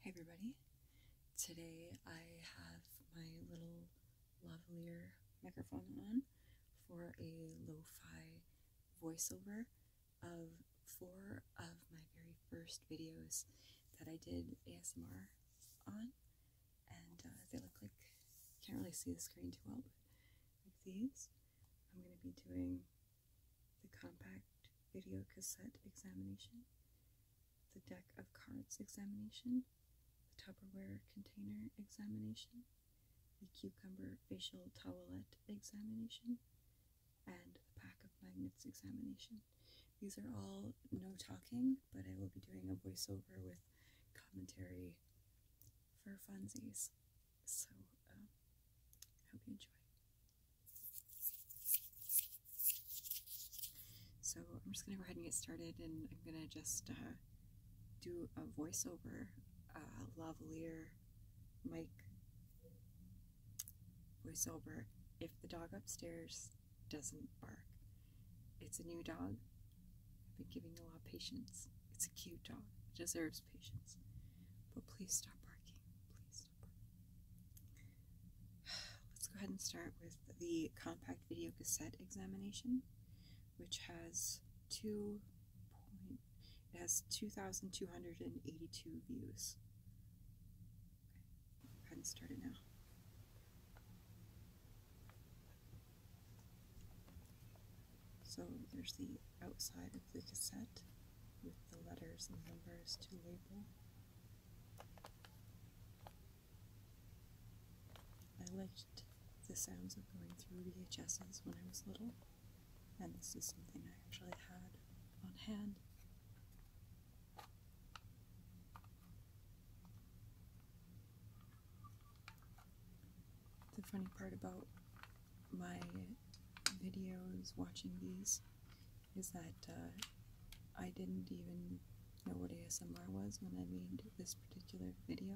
Hey everybody, today I have my little lavalier microphone on for a lo-fi voiceover of four of my very first videos that I did ASMR on and uh, they look like, can't really see the screen too well, but like these. I'm going to be doing the compact video cassette examination, the deck of cards examination, the Tupperware container examination, the cucumber facial towelette examination, and the pack of magnets examination. These are all no talking, but I will be doing a voiceover with commentary for funsies. So, um, I hope you enjoy. So, I'm just going to go ahead and get started, and I'm going to just uh, do a voiceover uh, lavalier mic voiceover if the dog upstairs doesn't bark. It's a new dog. I've been giving a lot of patience. It's a cute dog. It deserves patience. But please stop barking. Please stop barking. Let's go ahead and start with the compact video cassette examination, which has two it has two thousand two hundred and eighty-two views. go ahead and start it now. So there's the outside of the cassette with the letters and numbers to label. I liked the sounds of going through VHSs when I was little, and this is something I actually had on hand. The funny part about my videos watching these is that uh, I didn't even know what ASMR was when I made this particular video.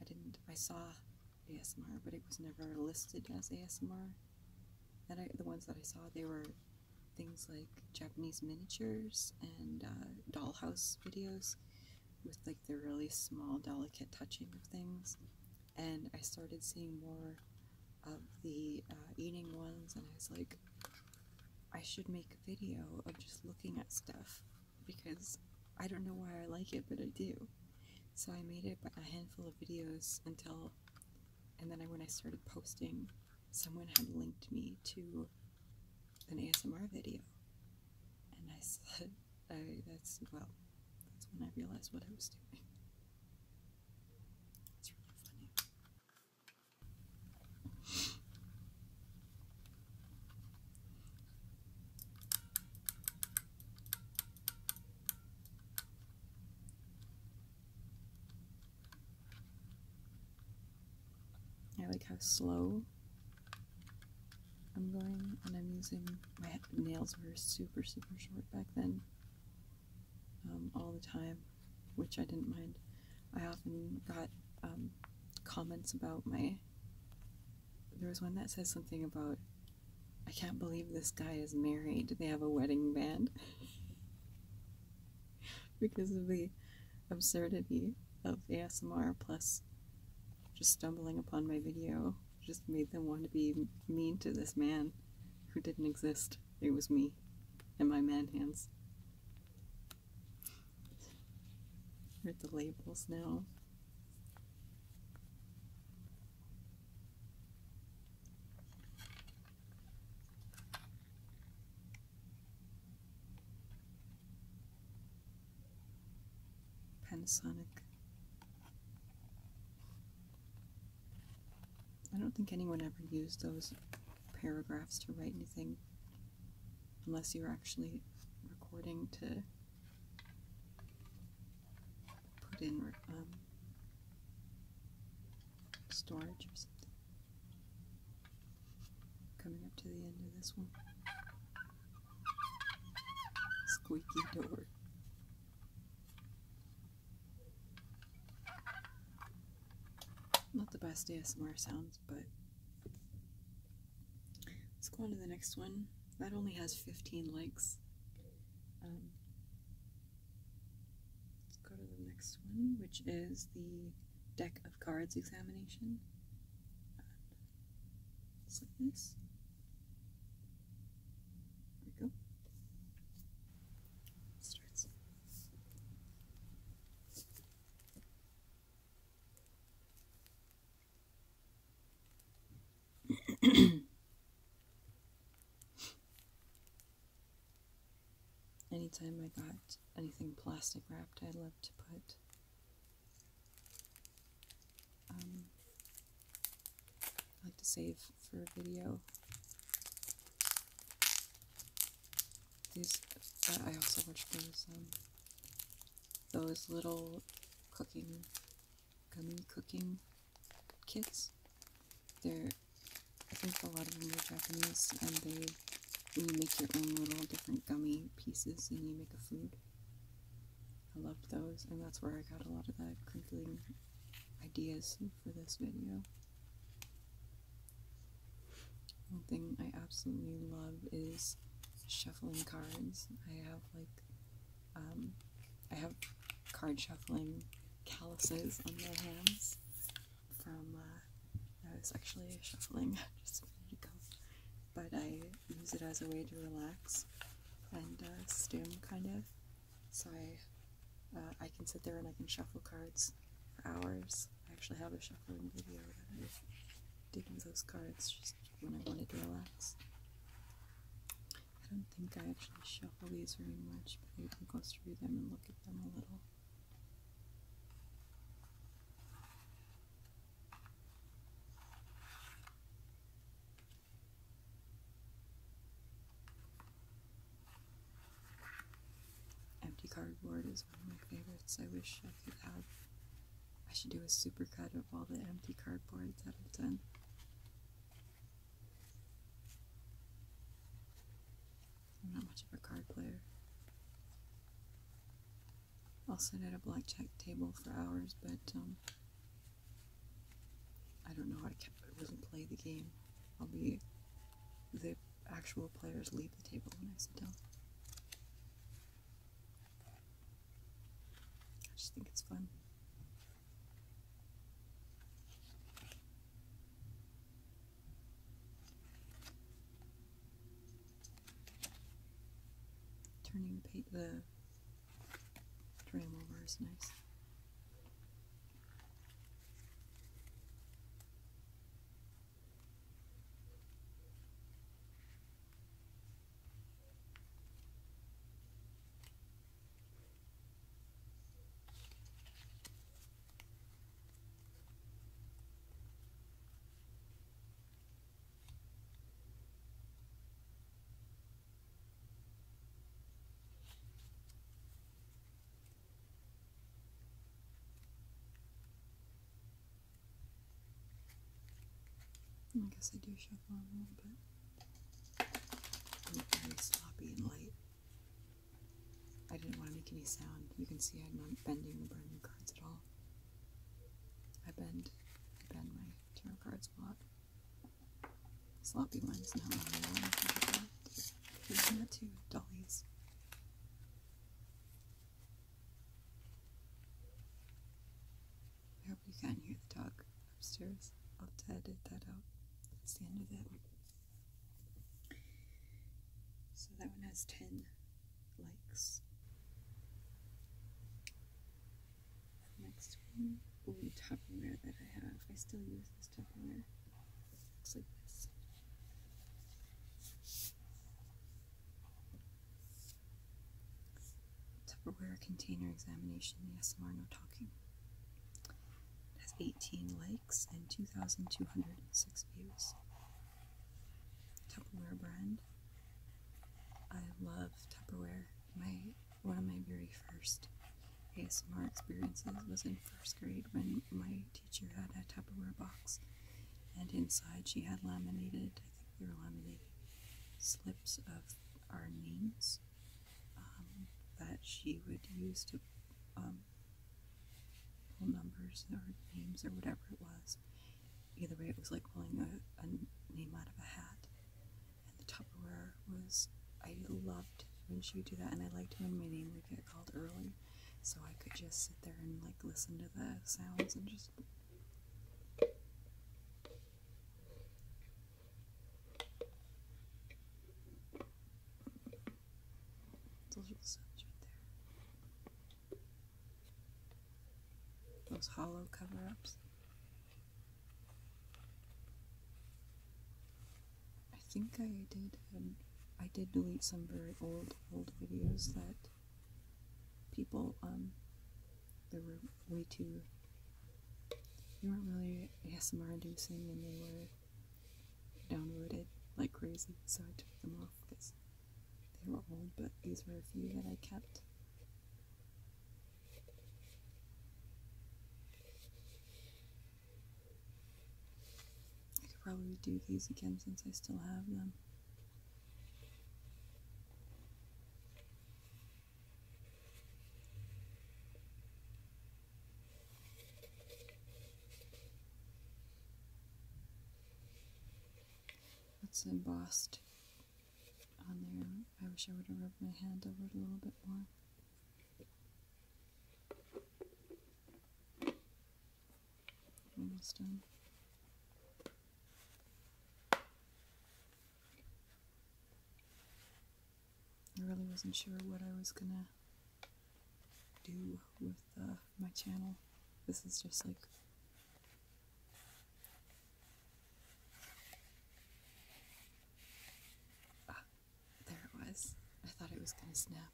I didn't, I saw ASMR, but it was never listed as ASMR. And the ones that I saw, they were things like Japanese miniatures and uh, dollhouse videos with like the really small, delicate touching of things and I started seeing more of the uh, eating ones, and I was like, I should make a video of just looking at stuff because I don't know why I like it, but I do. So I made it a handful of videos until, and then when I started posting, someone had linked me to an ASMR video, and I said, I, that's, well, that's when I realized what I was doing. It's really funny. I like how slow I'm going and I'm using my nails were super super short back then um, all the time which I didn't mind I often got um, comments about my there was one that says something about I can't believe this guy is married they have a wedding band because of the absurdity of ASMR plus just stumbling upon my video just made them want to be mean to this man who didn't exist. It was me and my man hands. Read the labels now. Panasonic I don't think anyone ever used those paragraphs to write anything unless you're actually recording to put in um, storage or something. Coming up to the end of this one. Squeaky door. Not the best ASMR sounds, but let's go on to the next one. That only has 15 likes. Um, let's go to the next one, which is the deck of cards examination. It's uh, like this. There we go. Starts. Anytime I got anything plastic wrapped, I love to put um, I like to save for a video. These, I also watch those, um, those little cooking, gummy cooking kits. They're, I think a lot of them are Japanese, and they, you make your own little different gummy pieces, and you make a food. I loved those, and that's where I got a lot of that crinkling ideas for this video. One thing I absolutely love is shuffling cards. I have like, um, I have card shuffling calluses on my hands from, I uh, was actually shuffling just a minute ago, but I use it as a way to relax and uh, stim kind of. So I, uh, I can sit there and I can shuffle cards for hours. I actually have a shuffling video that I did with those cards just when I want to relax. I don't think I actually shuffle these very much, but I can go through them and look at them a little. Empty cardboard is one of my favorites. I wish I could have. I should do a super cut of all the empty cardboard that I've done. not much of a card player. I'll sit at a blackjack table for hours, but um, I don't know how to really play the game. I'll be the actual players leave the table when I sit down. I just think it's fun. Turning the, pa the tram over is nice. I guess I do shuffle a little bit. very sloppy and light. I didn't want to make any sound. You can see I'm not bending the burning cards at all. I bend, I bend my tarot card spot. Sloppy ones Not Here's number I hope you can hear the dog upstairs. I'll edit that out. That's the end of that. So that one has 10 likes. Next one, ooh, Tupperware that I have. I still use Tupperware. Looks like this. Tupperware container examination, yes, more no talking. has 18 likes and 2,206 views. Tupperware brand. I love Tupperware. My one of my very first ASMR experiences was in first grade when my teacher had a Tupperware box, and inside she had laminated, I think they were laminated, slips of our names um, that she would use to um, pull numbers or names or whatever it was. Either way, it was like pulling a, a name out of a hat. And the Tupperware was, I loved when she would do that, and I liked when my name would get called early, so I could just sit there and like listen to the sounds and just. Those are the sounds right there. Those hollow cover ups. I think I did. Um, I did delete some very old, old videos that people, um, they were way too, they weren't really ASMR inducing and they were downloaded like crazy, so I took them off because they were old, but these were a few that I kept. I could probably do these again since I still have them. It's embossed on there. I wish I would have rubbed my hand over it a little bit more. Almost done. I really wasn't sure what I was gonna do with uh, my channel. This is just like Ah, there it was. I thought it was going to snap.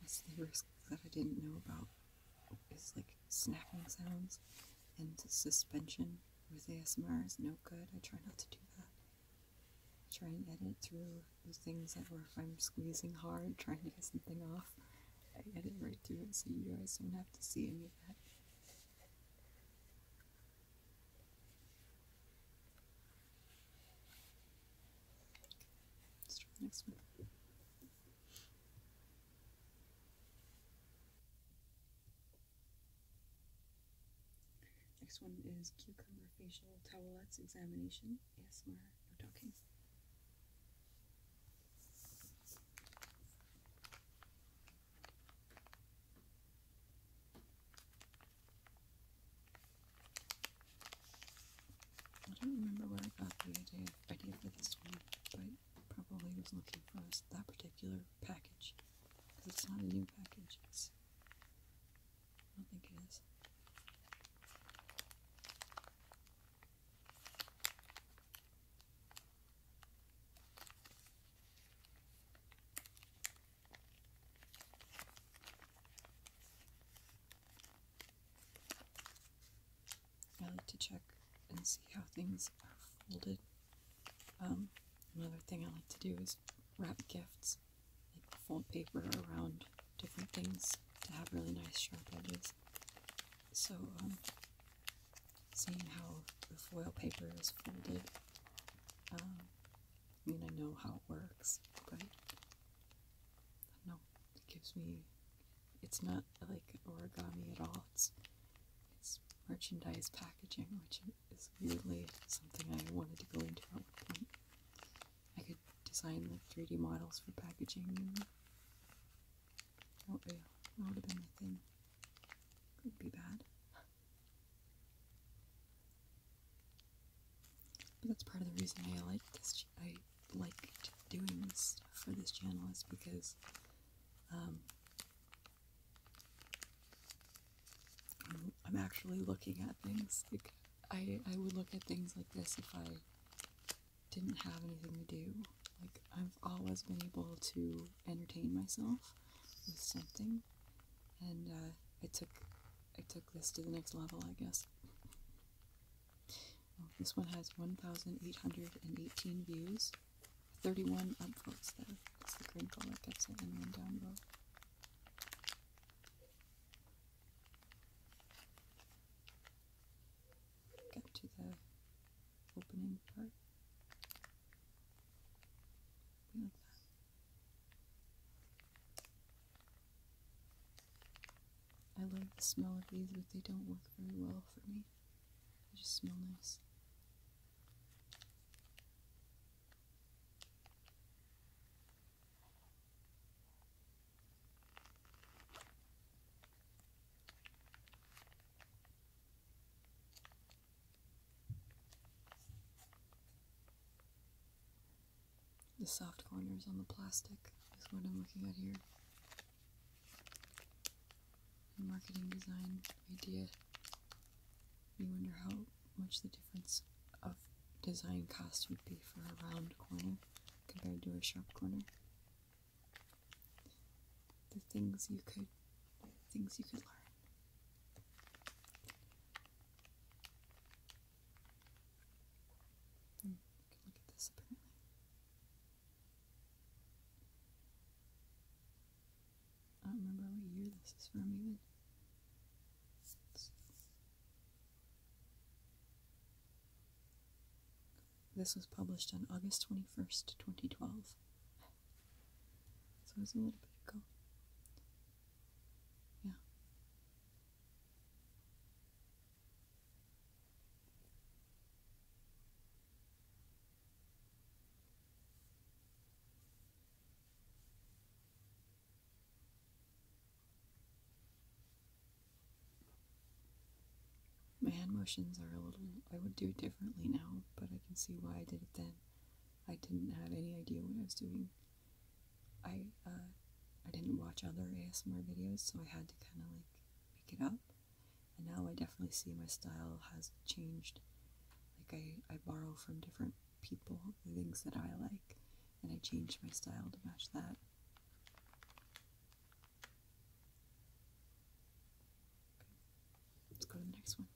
That's the risk that I didn't know about. Is like snapping sounds and suspension with ASMR is no good. I try not to do that. I try and edit through the things that were if I'm squeezing hard, trying to get something off. I edit right through it so you guys don't have to see any of that. Let's try next one. Next one is cucumber facial towelettes examination. ASMR, no talking. I don't remember what I got the idea, for this one, but probably was looking for that particular package. Because it's not a new package, I don't think it is. I like to check and see how things are folded. Um, another thing I like to do is wrap gifts, like fold paper around different things to have really nice sharp edges. So, um, seeing how the foil paper is folded, um, I mean, I know how it works, right? no, it gives me. It's not like origami at all. It's it's merchandise packaging, which is weirdly something I wanted to go into at one point. I could design like 3D models for packaging. And oh, yeah, that would have been thing. Could be bad. But that's part of the reason I like this. I like doing this stuff for this channel is because um, I'm, actually looking at things. Like I, I would look at things like this if I didn't have anything to do. Like, I've always been able to entertain myself with something, and uh, I took I took this to the next level, I guess. this one has 1,818 views, 31 upvotes though. It's the green color That's gets it, and one downvote. Go to the opening part. like I love the smell of these, but they don't work very well for me. They just smell nice. The soft corners on the plastic is what I'm looking at here. Marketing design idea. You wonder how much the difference of design cost would be for a round corner corner compared to a shop corner. The things you could things you could learn. Hmm, can look at this apparently. I don't remember what year this is from even. This was published on August 21st, 2012. So it was a little bit ago. Yeah. My hand motions are a little, I would do differently now, but I can see why I did it then. I didn't have any idea what I was doing. I, uh, I didn't watch other ASMR videos, so I had to kind of like pick it up. And now I definitely see my style has changed. Like I, I borrow from different people the things that I like, and I change my style to match that. Let's go to the next one.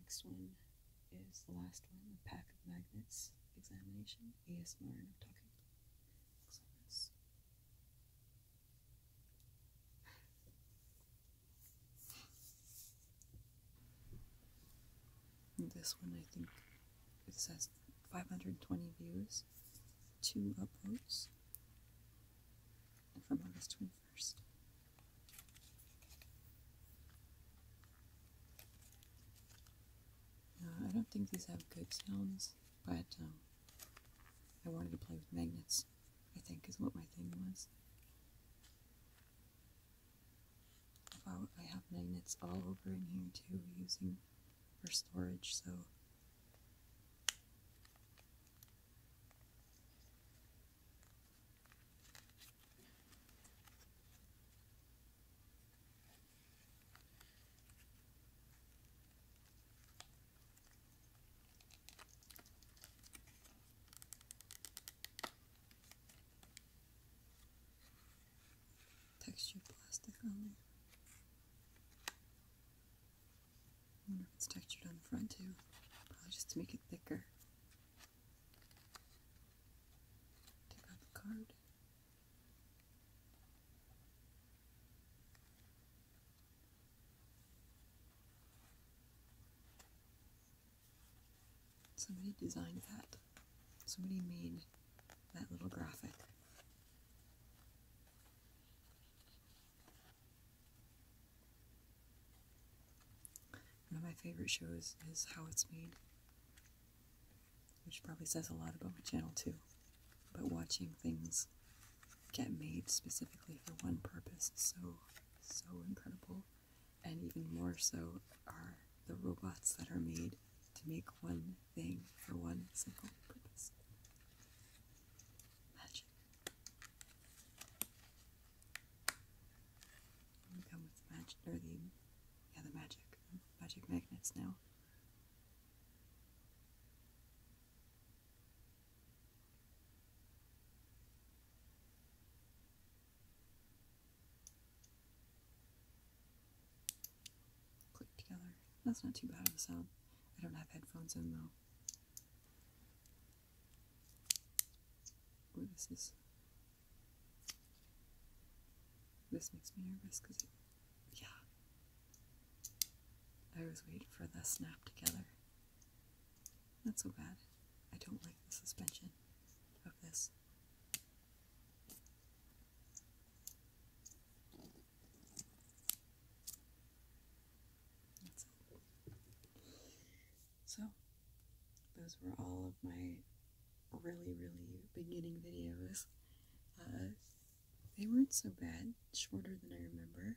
Next one is the last one, the pack of magnets examination, ASMR talking this one, I think it says 520 views, two uploads from August 21st. Uh, I don't think these have good sounds, but um, I wanted to play with magnets, I think is what my thing was. I have magnets all over in here too, using for storage, so. Texture plastic on there. wonder if it's textured on the front too. Probably just to make it thicker. Take out the card. Somebody designed that. Somebody made that little graphic. One of my favorite shows is How It's Made, which probably says a lot about my channel too. But watching things get made specifically for one purpose is so, so incredible and even more so are the robots that are made to make one thing for one single purpose. Magic. come with magic, or the, yeah, magic, magic magnets now click together. That's not too bad of a sound. I don't have headphones in though. this is. This makes me nervous because Yeah. I was waiting for the snap together. Not so bad. I don't like the suspension of this. So, those were all of my really, really beginning videos. Uh, they weren't so bad, shorter than I remember.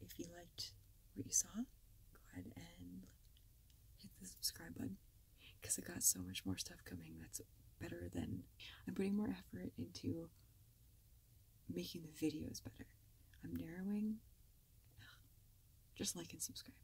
If you liked what you saw, go ahead and hit the subscribe button because I got so much more stuff coming that's better than I'm putting more effort into making the videos better. I'm narrowing. Just like and subscribe.